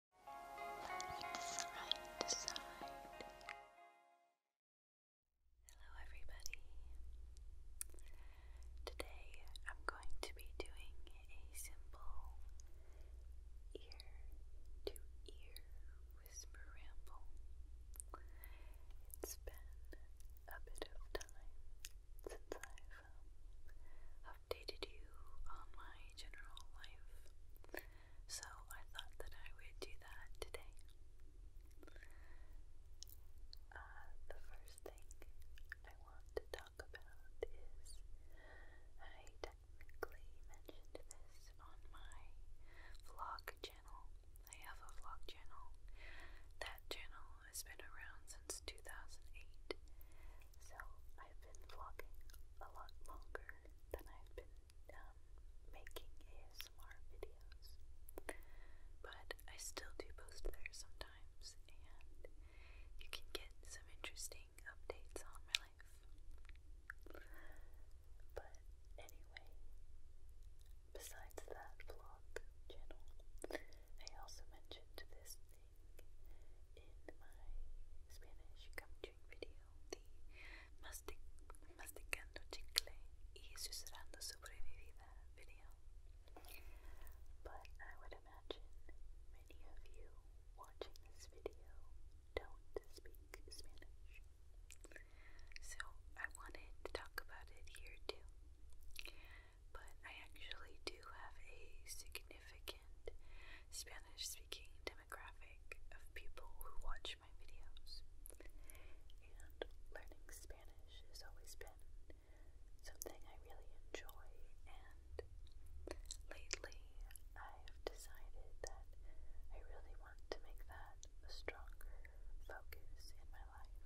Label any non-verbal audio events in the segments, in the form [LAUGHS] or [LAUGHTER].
Hello, everybody. Today I'm going to be doing a simple ear to ear whisper ramble. It's been a bit of time since I've um, updated you on my general life, so I thought that I would do that today. Uh, the first thing I want to talk about is I technically mentioned this on my vlog channel. I have a vlog channel. That channel has been around since 2008, so I've been vlogging a lot longer that I've been um, making ASMR videos, but I still do post there sometimes, and you can get some interesting updates on my life. But anyway, besides that vlog channel, I also mentioned this thing in my Spanish featuring video de mastic masticando chicle video. But I would imagine many of you watching this video don't speak Spanish. So I wanted to talk about it here too. But I actually do have a significant Spanish speaking demographic of people who watch my videos. And learning Spanish has always been something I really enjoy, and lately I've decided that I really want to make that a stronger focus in my life.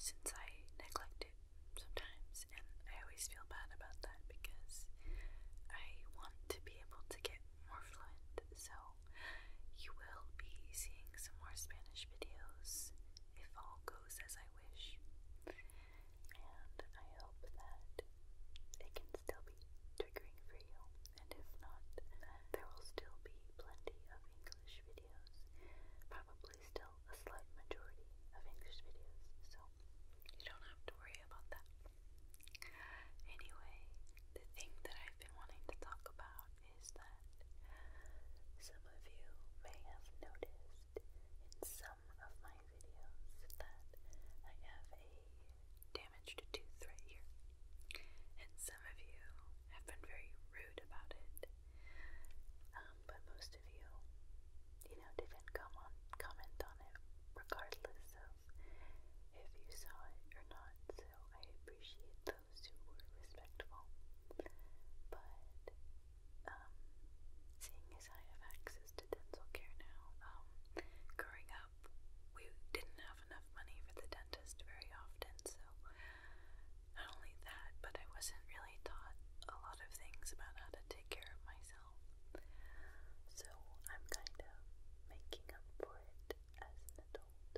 Since I neglect it sometimes, and I always feel bad about that because I want to be be able to get more fluent, so you will be seeing some more Spanish videos if all goes as I wish. And I hope that it can still be triggering for you, and if not, there will still be plenty of English videos, probably still a slight majority of English videos, so you don't have to worry about that. Anyway, the thing that I've been wanting to talk about is that some of you may have noticed in some of my videos that I have a damaged tooth right here. And some of you have been very rude about it. Um, but most of you, you know, didn't come on comment on it, regardless of if you saw it or not, so I appreciate those who were respectful. But, um, seeing as I have access to dental care now, um, growing up, we didn't have enough money for the dentist very often, so not only that, but I wasn't really taught a lot of things about how to take care of myself. So I'm kind of making up for it as an adult.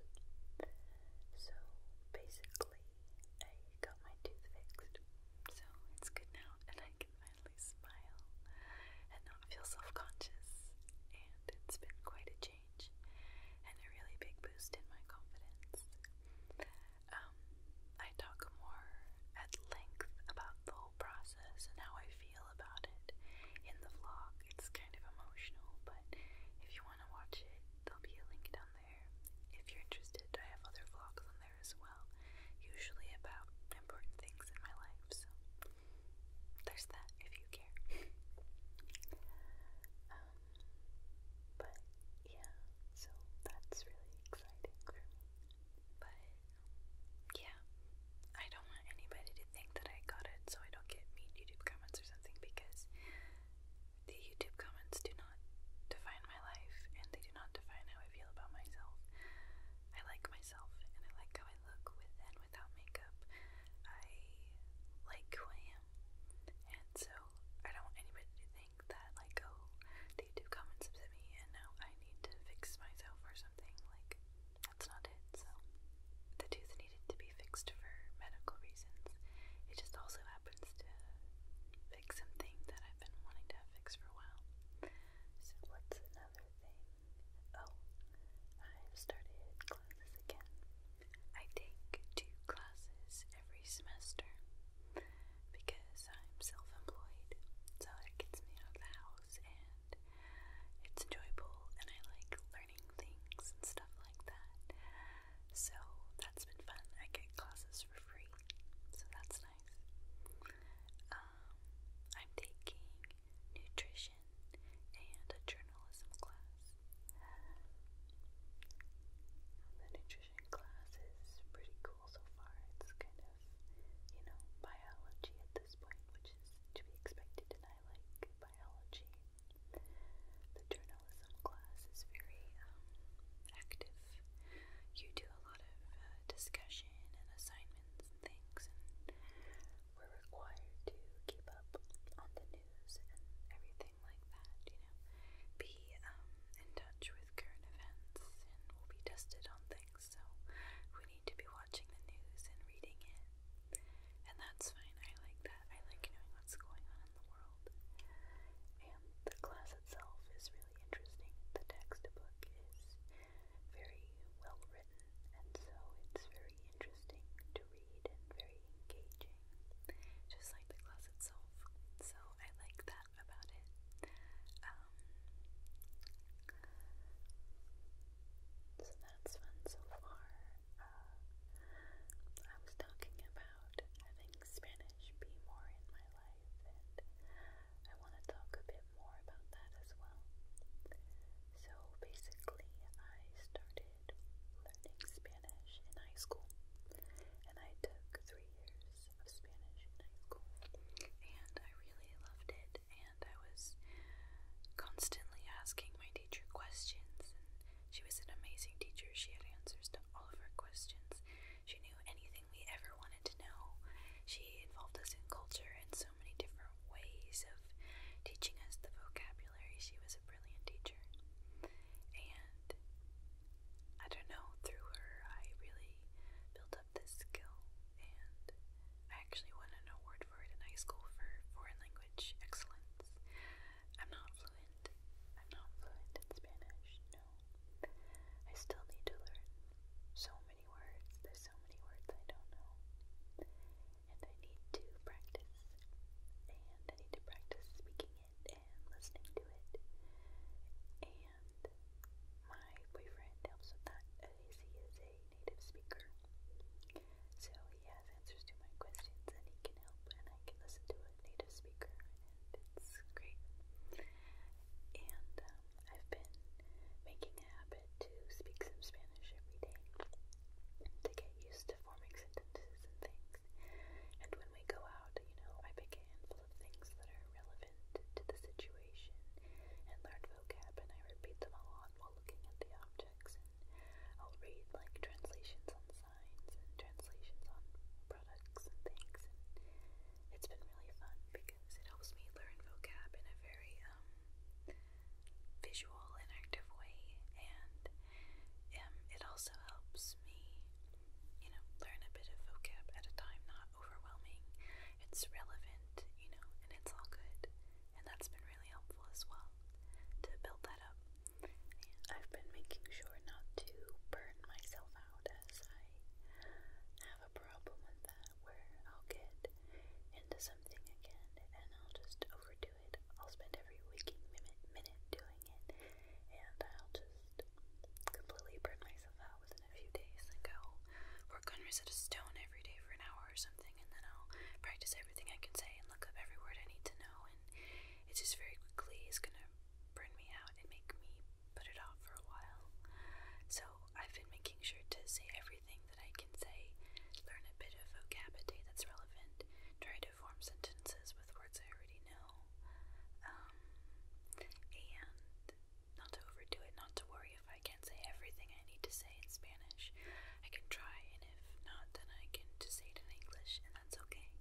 So basically, I got my tooth fixed. So it's good now, and I can finally smile and not feel self conscious. And it's been quite a change and a really big boost in my confidence. Um, I talk more at length about the whole process and how I feel feel about it in the vlog. It's kind of emotional, but if you want to watch it, there'll be a link down there. If you're interested, I have other vlogs on there as well, usually about important things in my life, so there's that if you care. [LAUGHS] um, but yeah, so that's really exciting for me. But yeah, I don't want anybody to think that I got it so I don't get mean YouTube comments or something because the YouTube comments do not define my life and they do not define how I feel about myself. I like myself and I like how I look with and without makeup. I like who I am. And so I don't want anybody to think that like, oh, the YouTube comments upset me and now I need to fix myself or something. Like that's not it. So the tooth needed to be fixed for medical reasons. It just also happens to fix something that I've been wanting to fix for a while. So what's another thing? Oh, I've started classes again. I take two classes every semester because I'm self-employed, so it gets me out of the house and it's enjoyable and I like learning things and stuff like that. So that's been fun. I get classes for free, so that's nice. Um, I'm taking nutrition and a journalism class. The nutrition class is pretty cool so far. It's kind of, you know, biology at this point, which is to be expected, and I like biology. The journalism class is very um, active. You do a lot of uh, discussion and assignments and things, and we're required to keep up on the news and everything like that, you know. Be um, in touch with current events, and we'll be tested on things so we need to be watching the news and reading it. And that's fine, I like that. I like knowing what's going on in the world. And the class itself is really interesting. The textbook is very well written, and so it's very interesting to read and very engaging, just like the class itself. So I like that about it. Um, so that's fun so far. Uh, I was talking about having Spanish be more in my life, and I want to talk a bit more about that as well. So basically, I started learning Spanish in high school, and I took three years of Spanish in high school, and I really loved it. And I was constantly asking my teacher questions, and she was an amazing teacher. She had answers to all of our questions. She knew anything we ever wanted to know. She involved us in culture in so many different ways of teaching us the vocabulary. She was a brilliant teacher. And I don't know, through her, I really built up this skill and I actually won an award for it in high school for foreign language excellence. I'm not fluent. I'm not fluent in Spanish, no. I still need to learn so many words. There's so many words I don't know. And I need to practice. And I need to practice speaking it and listening to it. And my boyfriend helps with that as he is a native speaker. So he has answers to my questions and he can help and I can listen to a native speaker and it's great. And um, I've been making a habit to speak some Spanish every day to get used to forming sentences and things. And when we go out, you know, I pick a handful of things that are relevant to the situation and learn vocab and I repeat them a lot while looking at the object. I'll read like translations on signs and translations on products and things, and it's been really fun because it helps me learn vocab in a very um, visual and active way, and um, it also helps me, you know, learn a bit of vocab at a time, not overwhelming. It's relevant, you know, and it's all good and that's been really helpful as well to build that up. I've been making sure not to burn myself out as I have a problem with that where I'll get into something again and I'll just overdo it. I'll spend every waking minute, minute doing it and I'll just completely burn myself out within a few days i go work on Rosetta Stone every day for an hour or something and then I'll practice everything I can say and look up every word I need to know and it just very quickly is gonna burn me out and make me put it off for a while. So I've been making sure to say everything that I can say, learn a bit of vocabulary that's relevant, try to form sentences with words I already know, um, and not to overdo it, not to worry if I can't can say everything I need to say in Spanish. I can try, and if not, then I can just say it in English, and that's okay.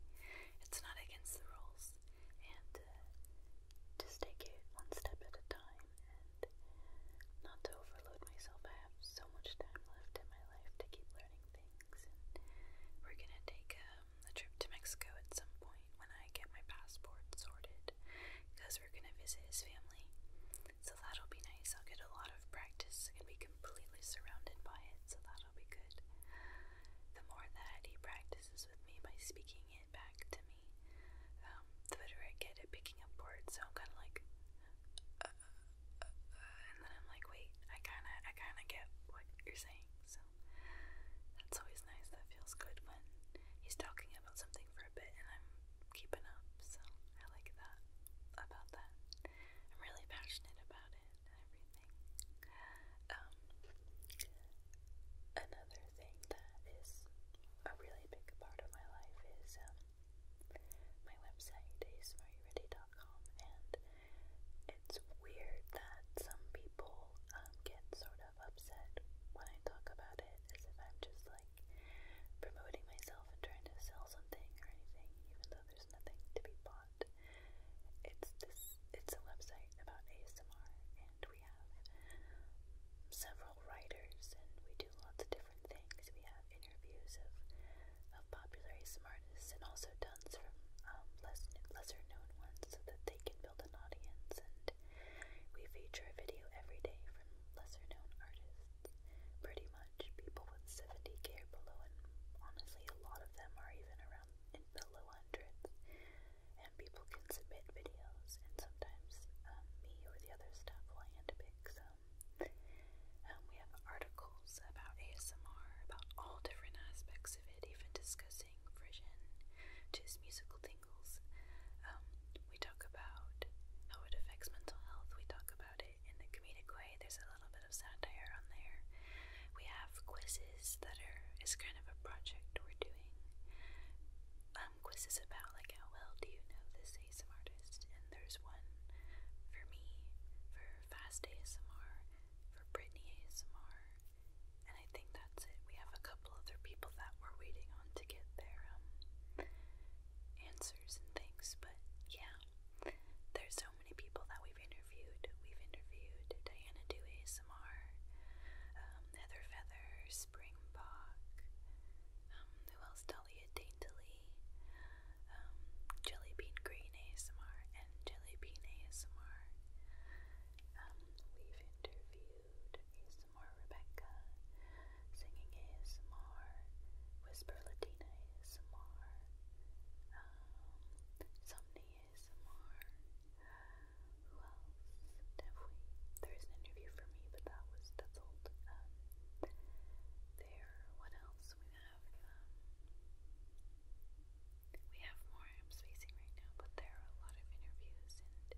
It's not against the rules. And uh, just take it one step at a time, and not to overload myself. I have so much time left in my life to keep learning things, we're gonna take um, a trip to Mexico at some point when I get my passport sorted, because we're gonna visit his family. So that'll be nice. I'll get a lot of practice and be completely surrounded by it, so that'll be good. The more that he practices with me by speaking it back to me, um, the better I get at picking up words. So I'm kind of like, uh, uh, uh, uh, and then I'm like, wait, I kind of, I kind of get what you're saying. So that's always nice. That feels good when he's talking about something for a bit, and I'm keeping up, so I like that about that. I'm really passionate about it and everything. Um, another thing that is a really big part of my life is um, my website, asmareyouready.com, and it's weird that some people um, get sort of upset when I talk about it as if I'm just like promoting myself and trying to sell something or anything, even though there's nothing to be bought. It's this. It's a website about ASMR, and we have several writers, and we do lots of different things. We have interviews of of popular ASMR artists, and also tons from um, less lesser known ones, so that they can build an audience. And we feature a video every day from lesser known artists, pretty much. People with 70k below, and honestly, a lot of them are even around in the low hundreds. And people can submit videos, and sometimes um, me or the other staff will handpick some. Um, we have articles about ASMR, about all different aspects of it, even discussing friction, just musical tingles. Um, we talk about how it affects mental health. We talk about about it in a comedic way. There's a little bit of satire on there. We have quizzes that are is kind of a project we're doing. Um, quizzes about like how well do you know this ASMR artist? And there's one for me for fast ASMR, for Brittany ASMR, and I think that's it. We have a couple other people that we're waiting on to get their um answers and things, but yeah, there's so many people that we've interviewed. We've interviewed Diana Do ASMR, um, Heather Feather, Springbok, um, who else? Dahlia Daintily, um, Green ASMR, and Jelly ASMR. Um, we've interviewed ASMR Rebecca, singing ASMR, Whisper Latina ASMR, um, Somni ASMR. Who else have There's an interview for me, but that was that's old. Um, there. What else we have? Um, we have more. I'm spacing right now, but there are a lot of interviews, and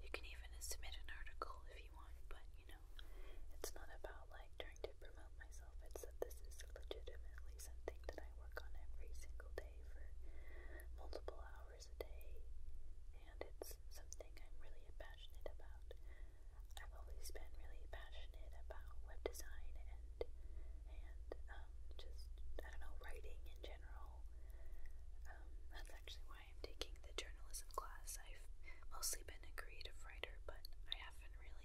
you can even submit an article if you want. But you know, it's not about like trying to promote myself. It's that this is legitimately something that I work on every single day for multiple hours a day, and it's something I'm really passionate about. I've always been really passionate about web design and and um, just I don't know writing in general. Um, that's actually why I'm taking the journalism class. I've mostly been a creative but I haven't really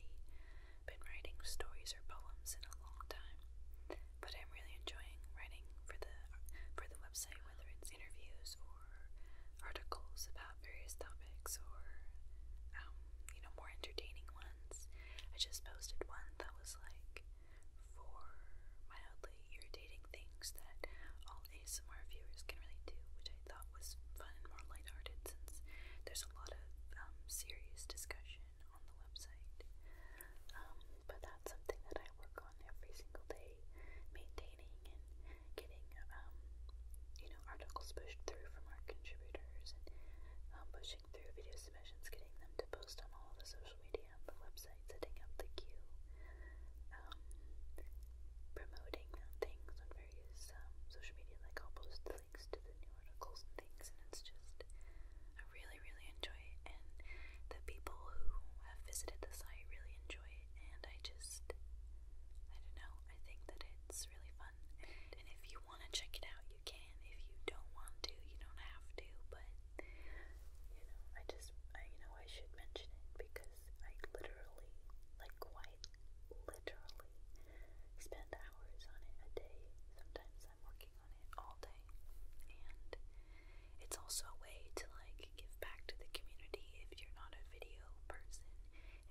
been writing stories or poems in a long time. But I'm really enjoying writing for the for the website, whether it's interviews or articles about various topics or um, you know more entertaining ones. I just posted one that was like for mildly irritating things that all ASMR viewers can relate to, which I thought was fun and more lighthearted since there's a lot of um, serious discussion on the website. Um, but that's something that I work on every single day, maintaining and getting, um, you know, articles pushed through from our contributors and pushing through video submissions, getting them to post on all the social media, the website, setting up the queue, promoting things various um, social media, like I'll post the links to the new articles and things, and it's just, I really, really enjoy it, and the people who have visited the site really enjoy it, and I just, I don't know, I think that it's really fun, and, and if you want to check it out, you can, if you don't want to, you don't have to, but, you know, I just, I, you know, I should mention it, because I literally, like, quite literally, literally spend hours on it a day. Sometimes I'm working on it all day. And it's also a way to like give back to the community if you're not a video person.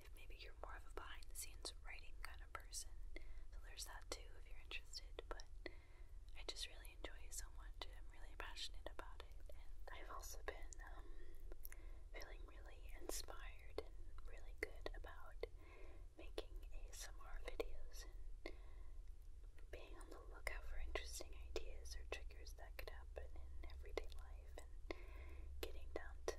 If maybe you're more of a behind the scenes writing kind of person. So there's that too if you're interested. But I just really enjoy it so much. I'm really passionate about it. And I've also been um, feeling really inspired and really good about making ASMR videos and being on the lookout for interesting ideas or triggers that could happen in everyday life and getting down to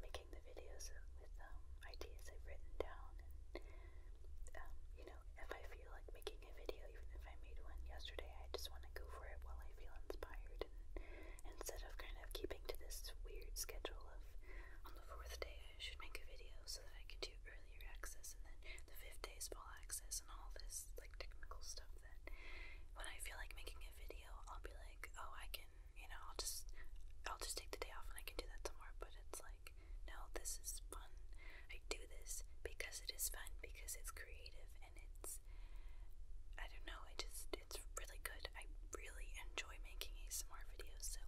making the videos with um, ideas I've written down and um, you know if I feel like making a video even if I made one yesterday I just want to go for it while I feel inspired instead of kind of keeping to this weird schedule of on the fourth day I should make a video so that I can do earlier access and then the fifth day is access and all this like technical stuff that when I feel like making a video I'll be like, oh I can you know, I'll just I'll just take the day off and I can do that tomorrow but it's like no, this is fun. I do this because it is fun, because it's creative and it's I don't know, I just it's really good. I really enjoy making ASMR videos, so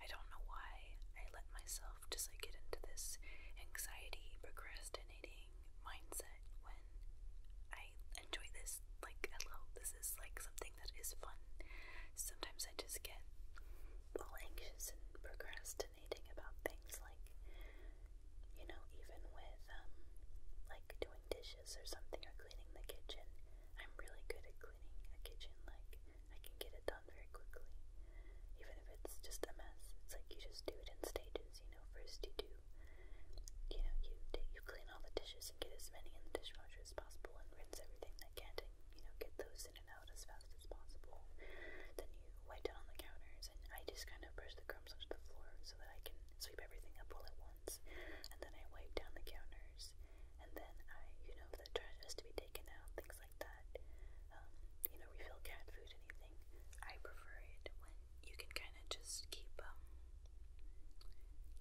I don't know why I let myself just like get into this anxiety, procrastinating mindset when I enjoy this. Like, I hello, this is like something that is fun. Sometimes I just get all anxious and procrastinating about things like, you know, even with um, like doing dishes dishes or something or cleaning the kitchen. I'm really good at cleaning a kitchen, like I can get it done very quickly. Even if it's just a mess, it's like you just do it in stages, you know, first you do you know, you you clean all the dishes and get as many in the dishwasher as possible and rinse everything that can't and you know, get those in and out as fast as possible. Then you wipe down on the counters and I just kind of brush the crumbs onto the floor so that I can sweep everything up all at once ones, and then I wipe down the counters, and then I, you know, the trash has to be taken out, things like that. Um, you know, refill cat food, anything. I prefer it when you can kind of just keep um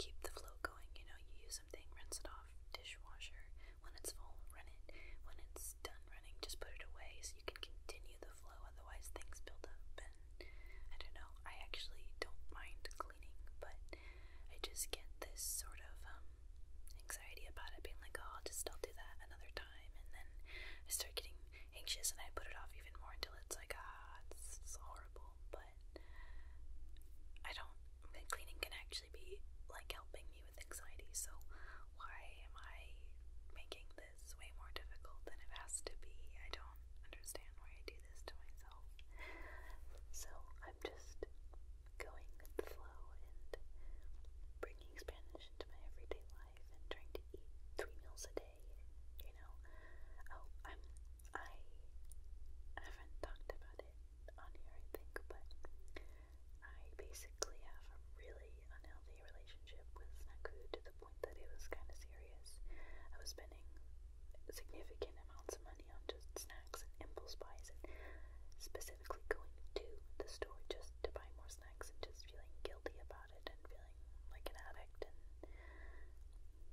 keep the flow going. You know, you use something, rinse it off, dishwasher. When it's full, run it. When it's done running, just put it away so you can continue the flow. Otherwise, things build up. I don't know, I actually don't mind cleaning, but I just get this sort of um, anxiety about it being like, oh, I'll just don't do that another time, and then I start getting anxious and I put it off even more until it's like, ah, it's, horrible, but I don't, cleaning can actually be like helping me with anxiety, so why am I making this way more difficult than it has to be? I don't understand why I do do this to myself. So I'm just going with the flow and bringing Spanish into my everyday life and trying to eat three meals a day. You know, oh, I'm I haven't talked about it on here, I think, but I basically have a really unhealthy relationship with snack food to the point that it was kind of serious. I was spending significant amounts of money money on just snacks and impulse buys and specifically going to the store just to buy more snacks and just feeling guilty about it and feeling like an addict and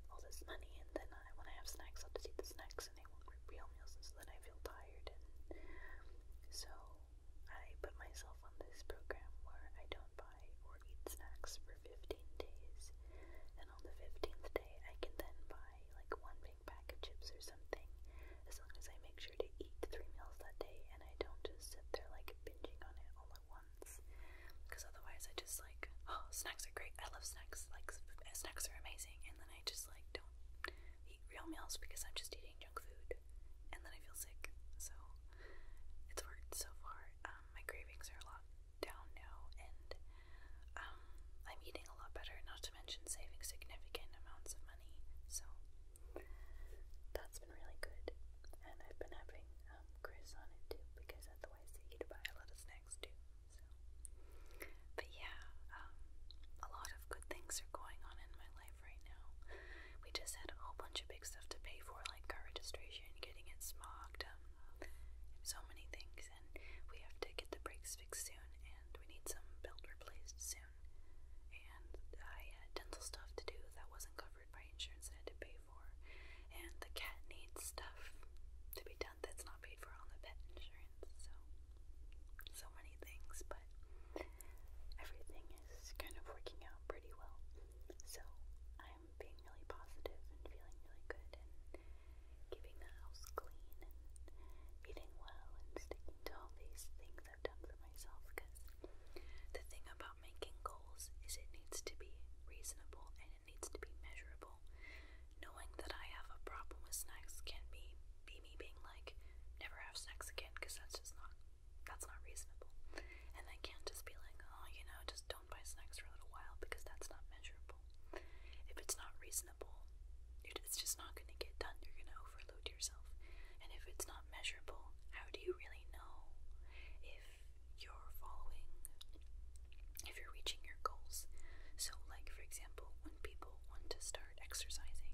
all this money and then I, when I have snacks I'll just eat the snacks and I won't eat real meals and so then I feel tired and so I put myself on this program where I don't buy or eat snacks for 15 days on the 15th day, I can then buy like one big pack of chips or something, as long as I make sure to eat three meals that day and I don't just sit there like binging on it all at once. Because otherwise, I just like, oh, snacks are great. I love snacks. Like, uh, snacks are amazing. And then I just like don't eat real meals because I'm just eating junk food. And then I feel sick. So it's worked so far. Um, my cravings are a lot down now, and um, I'm eating a lot better, not to mention saving significant amounts of money. So that's been really good. And I've been having um, Chris on it too, because otherwise he'd buy a lot of snacks too. So, but yeah, um, a lot of good things are going on in my life right now. We just had a whole bunch of big stuff to pay for, like car registration, getting it smogged, um, so many things, and we have to get the brakes fixed soon, and we need some belt replaced soon. And I had dental stuff to do that wasn't covered by insurance that I had to pay for, and the cat needs stuff to be done that's not paid for on the pet insurance. So, so many things, but everything is kind of working out pretty well. So, I'm being really positive and feeling really good and keeping the house clean and eating well and sticking to all these things I've done for myself because the thing about making goals is it needs to be reasonable and it needs to be measurable. Knowing that I have a problem with snacks can be be me being like, never have snacks again because that's just not that's not reasonable. And I can't just be like, oh, you know, just don't buy snacks for a little while because that's not measurable. If it's not reasonable, it's just not going to get done. You're going to overload yourself. And if it's not measurable, how do you really know if you're following, if you're reaching your goals? So, like, for example, when people want to start exercising,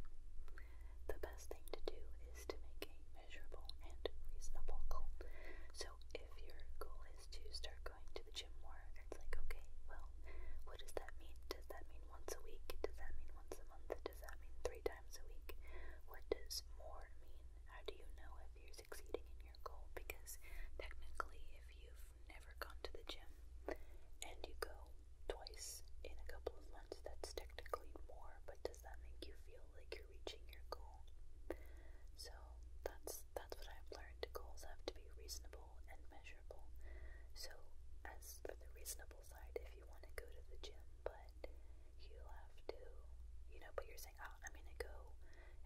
the best thing to do is to make a measurable and reasonable goal. So, if your goal is to start going to the gym more. It's like, okay, well, what does that mean? Does that mean once a week? Does that mean once a month? Does that mean three times a week? What does more mean? How do you know if you're succeeding in your goal? Because technically, if you've never gone to the gym and you go twice in a couple of months, that's technically more, but does that make you feel like you're reaching your goal? So that's that's what I've learned learned goals have to be reasonable and measurable. So, as for the reasonable side, if you want to go to the gym, but you have to, you know, but you're saying, oh, I'm going to go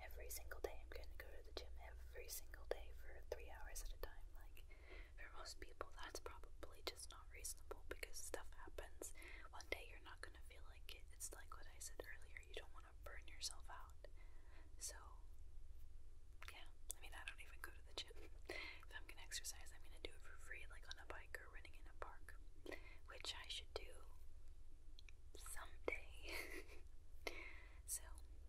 every single day, I'm going to go to the gym every single day for three hours at a time. Like, for most people, that's probably just not reasonable because stuff happens. One day you're not going to feel like it. It's like what I said earlier, you don't want burn yourself out. So, yeah, I mean, I don't even go to the gym. If I'm going to exercise, I'm going to do it for free, like on a bike or running in a park, which I should do someday. [LAUGHS] so,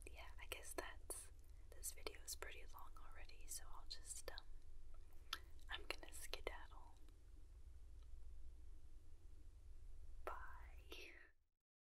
yeah, I guess that's this video is pretty long already, so I'll just, um, I'm going to skedaddle. Bye.